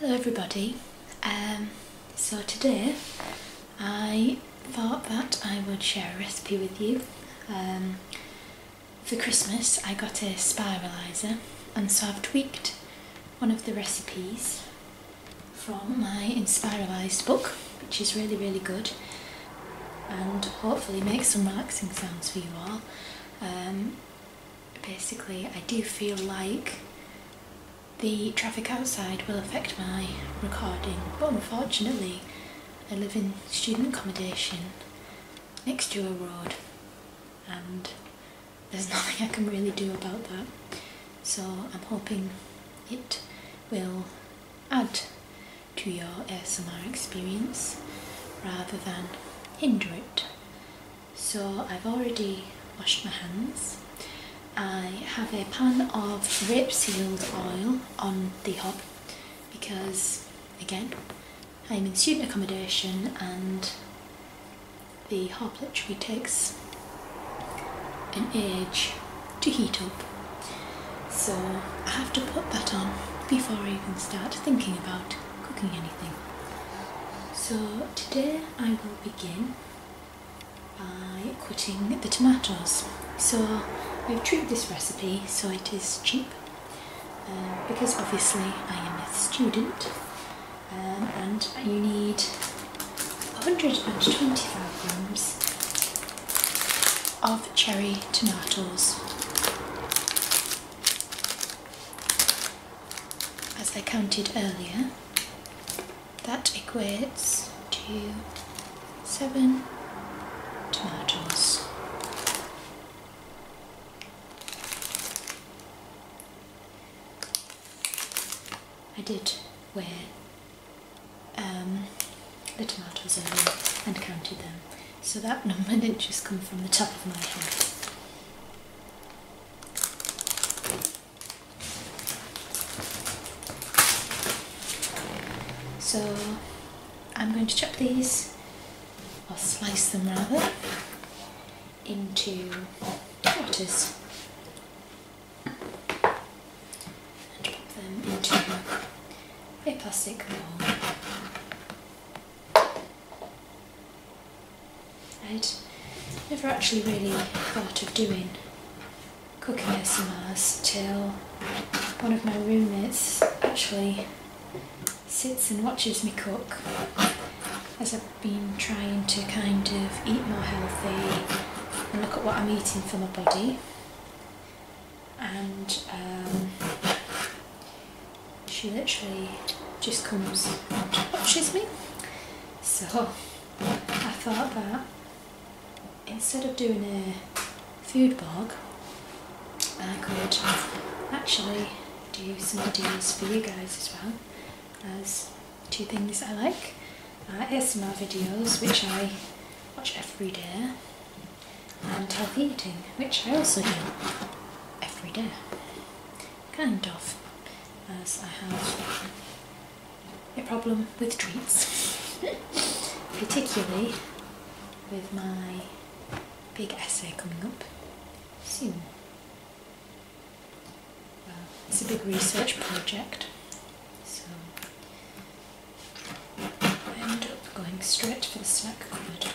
Hello everybody, um, so today I thought that I would share a recipe with you. Um, for Christmas I got a spiralizer and so I've tweaked one of the recipes from my Inspiralized book which is really really good and hopefully makes some relaxing sounds for you all. Um, basically I do feel like the traffic outside will affect my recording but unfortunately I live in student accommodation next to a road and there's nothing I can really do about that so I'm hoping it will add to your ASMR experience rather than hinder it so I've already washed my hands. I have a pan of rip sealed oil on the hob because, again, I'm in student accommodation and the hob literally takes an age to heat up. So I have to put that on before I even start thinking about cooking anything. So today I will begin by cutting the tomatoes. So I've treated this recipe so it is cheap um, because obviously I am a student um, and you need 125 grams of cherry tomatoes as I counted earlier, that equates to seven tomatoes. I did weigh um, the tomatoes earlier and counted them, so that number didn't just come from the top of my head. So I'm going to chop these, or slice them rather, into quarters. And pop them into a plastic bowl. I'd never actually really thought of doing cooking SMRs till one of my roommates actually sits and watches me cook as I've been trying to kind of eat more healthy and look at what I'm eating for my body and um, she literally just comes and watches me. So I thought that instead of doing a food blog, I could actually do some videos for you guys as well as two things I like. Uh, my videos, which I watch every day, and healthy eating, which I also do every day kind of, as I have a problem with treats, particularly with my big essay coming up soon. Well, it's a big research project, so I end up going straight for the snack cupboard.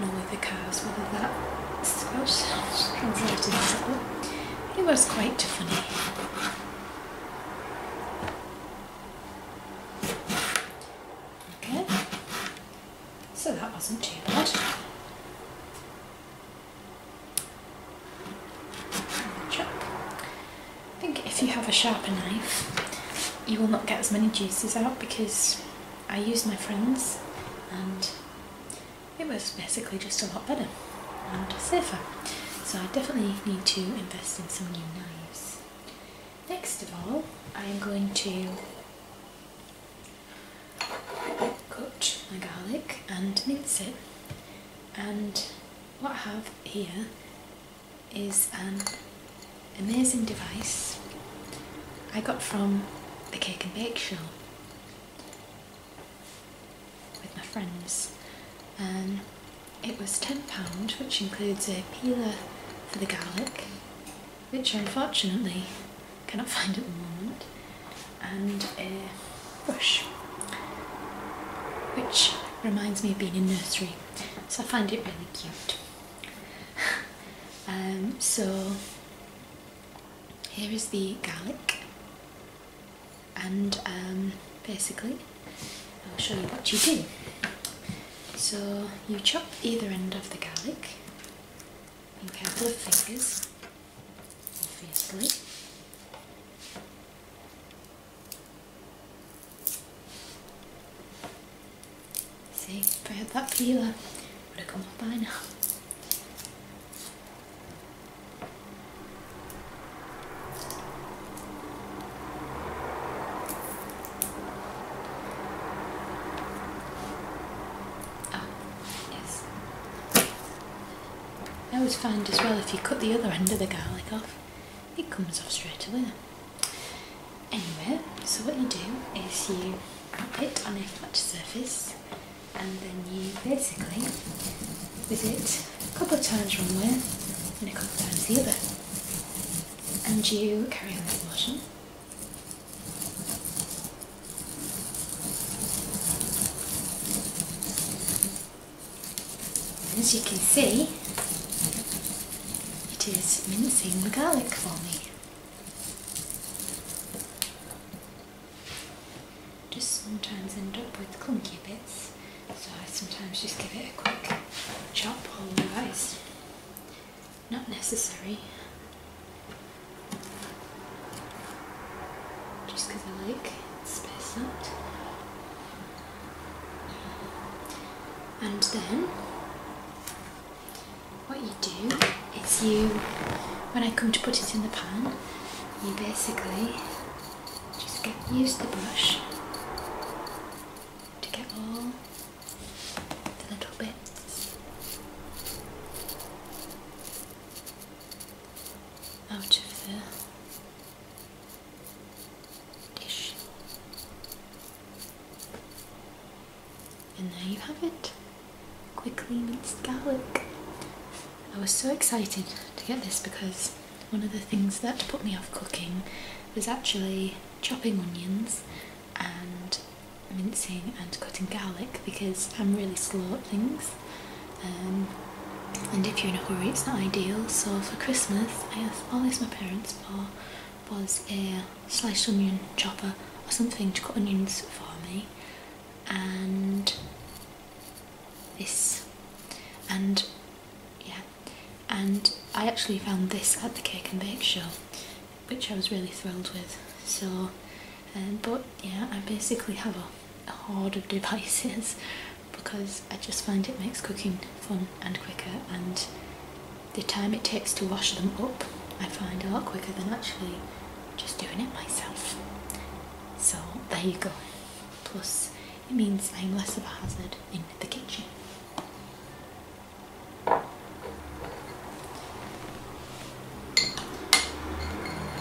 Don't know with the cars whether that Scouse translated well. It was quite funny. Okay. So that wasn't too bad. Check. I think if you have a sharper knife you will not get as many juices out because I used my friends and it was basically just a lot better and silver. So I definitely need to invest in some new knives. Next of all, I am going to cut my garlic and mince it. And what I have here is an amazing device I got from the Cake and Bake Show with my friends. Um, it was £10, which includes a peeler for the garlic, which I unfortunately cannot find at the moment, and a brush, which reminds me of being in nursery, so I find it really cute. Um, so here is the garlic and um, basically I'll show you what you do. So you chop either end of the garlic in a couple of fingers, obviously. See, if I had that peeler, would have come up by now. Ah, yes. I always find as well if you cut the other end of the garlic off, it comes off straight away. Anyway, so what you do is you wrap it on a flat surface and then you basically, with it, a couple of times wrong way and a couple of times the other. And you carry on with washing. as you can see, it is mincing the garlic for me. Just sometimes end up with clunky bits so I sometimes just give it a quick chop all the rice. Not necessary. Just because I like it spaced And then what you do is you, when I come to put it in the pan, you basically just use the brush to get all the little bits out of the dish. And there you have it. Quickly minced garlic. I was so excited to get this because one of the things that put me off cooking was actually chopping onions and mincing and cutting garlic because I'm really slow at things um, and if you're in a hurry it's not ideal so for Christmas I asked always my parents for was a sliced onion chopper or something to cut onions for me and this and yeah and I actually found this at the Cake and Bake Show which I was really thrilled with so um, but yeah I basically have a, a hoard of devices because I just find it makes cooking fun and quicker and the time it takes to wash them up I find a lot quicker than actually just doing it myself so there you go plus it means I'm less of a hazard in the kitchen.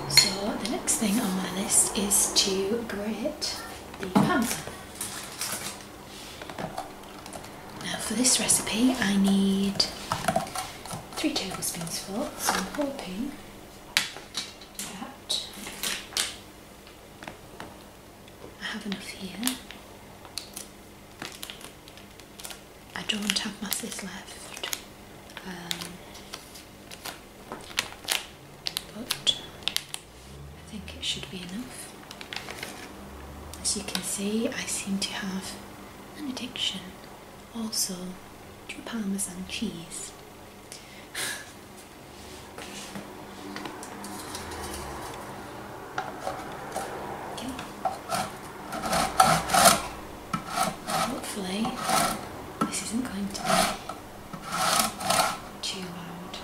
So the next thing on my list is to grate the pan. Now for this recipe I need three tablespoons full, so I'm hoping that I have enough here. I don't have masses left, um, but I think it should be enough. As you can see, I seem to have an addiction also to parmesan cheese. Hopefully this isn't going to be too loud.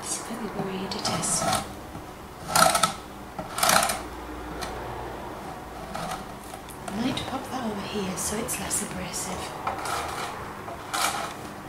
It's very worried it is. I might pop that over here so it's less abrasive.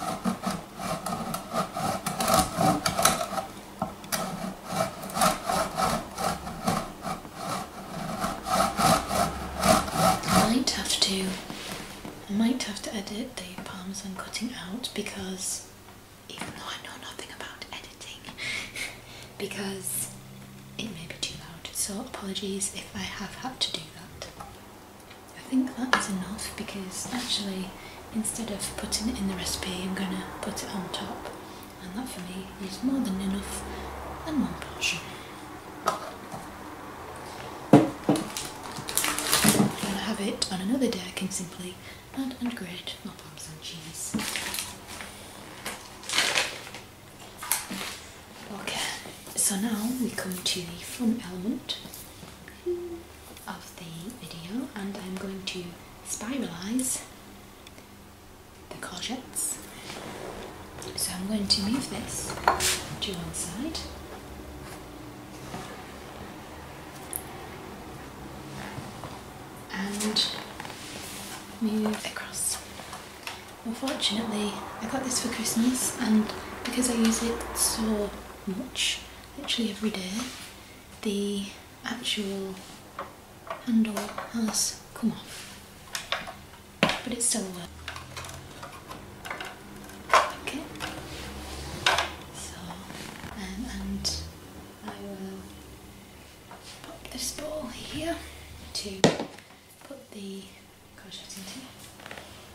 I might have to I might have to edit the palms I'm cutting out because even though I know nothing about editing because it may be too loud so apologies if I have had to do that. I think that's enough because actually instead of putting it in the recipe I'm going to put it on top and that for me is more than enough and one portion. I'll have it on another day I can simply add and grate my parmesan cheese. Okay, so now we come to the fun element of the video and I'm going to spiralize the courgettes. So I'm going to move this to one side. and move across. Unfortunately, I got this for Christmas and because I use it so much, literally every day, the actual handle has come off, but it still works. Okay, so um, and I will pop this ball here to put the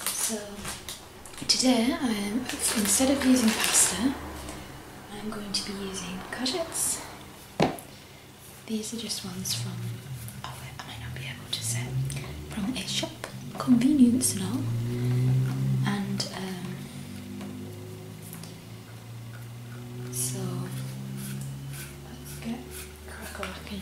so today I am instead of using pasta, I'm going to be using courgettes. These are just ones from oh I might not be able to say from a shop convenience and And um, so let's get cracking.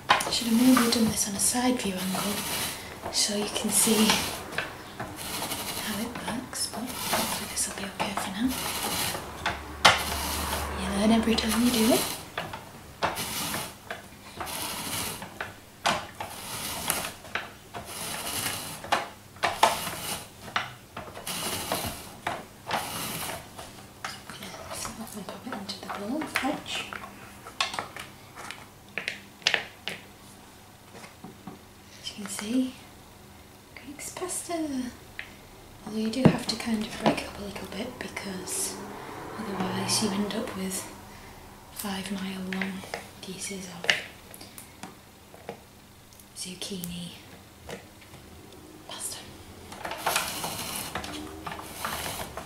I should have maybe done this on a side view angle so you can see how it works, but hopefully this will be okay for now. Yeah, and every time you do it. and pop it into the bowl, fetch. As you can see, Greek's pasta. Although you do have to kind of break it up a little bit because otherwise you end up with five mile long pieces of zucchini pasta.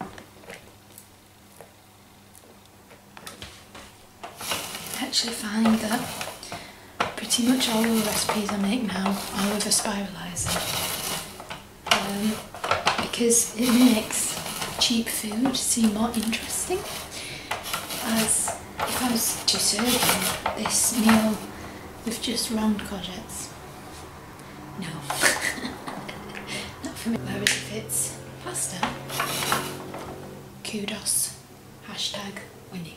I actually find that pretty much all the recipes I make now are with a spiralizer, um, because it makes cheap food seem more interesting as opposed to serving this meal with just round courgettes no. Not for me. Whereas if it's pasta, kudos. Hashtag Winnie.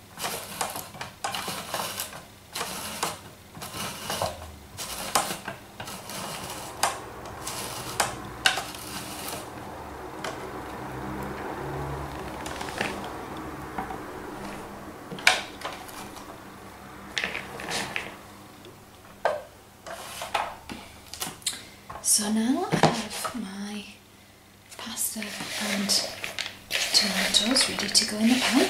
So now I have my pasta and tomatoes ready to go in the pan.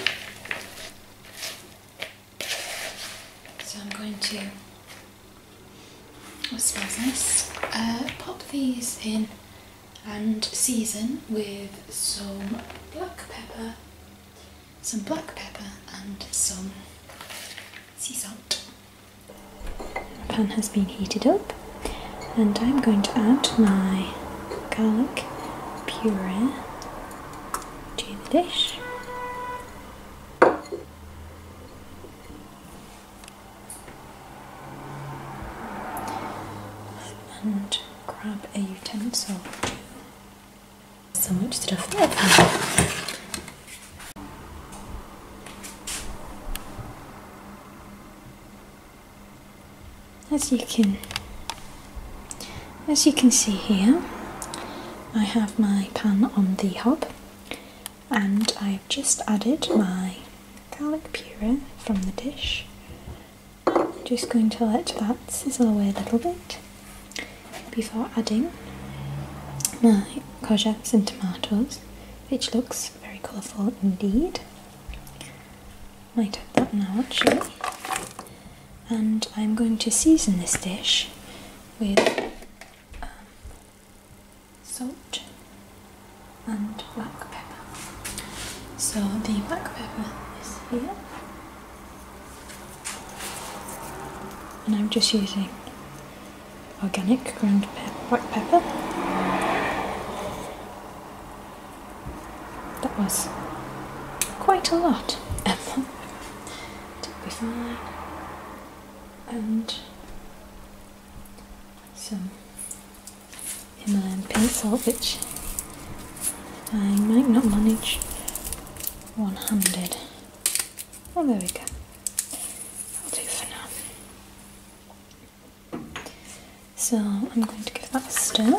So I'm going to, what smells nice, pop these in and season with some black pepper, some black pepper and some sea salt. The pan has been heated up and I'm going to add my garlic puree to the dish. And grab a utensil. So much stuff in as you can as you can see here I have my pan on the hob and I've just added my garlic puree from the dish I'm just going to let that sizzle away a little bit before adding my courgettes and tomatoes which looks very colourful indeed Light up that now actually. And I'm going to season this dish with um, salt and black pepper. So the black pepper is here. And I'm just using organic ground black pepper. That was quite a lot. It'll be fine. And some Himalayan pencil, which I might not manage one handed. Oh, there we go. I'll do for now. So I'm going to give that a stir,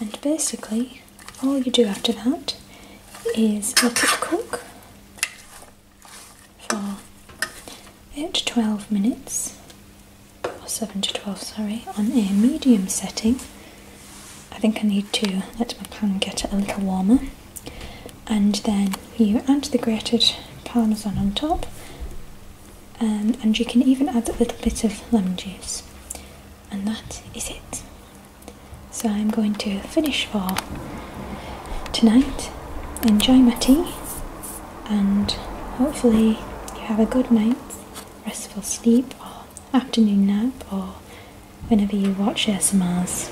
and basically, all you do after that is let it cook for 8 to 12 minutes, or 7 to 12, sorry, on a medium setting. I think I need to let my pan get a little warmer, and then you add the grated parmesan on top um, and you can even add a little bit of lemon juice. And that is it. So I'm going to finish for tonight. Enjoy my tea and hopefully you have a good night, restful sleep or afternoon nap or whenever you watch ASMRs.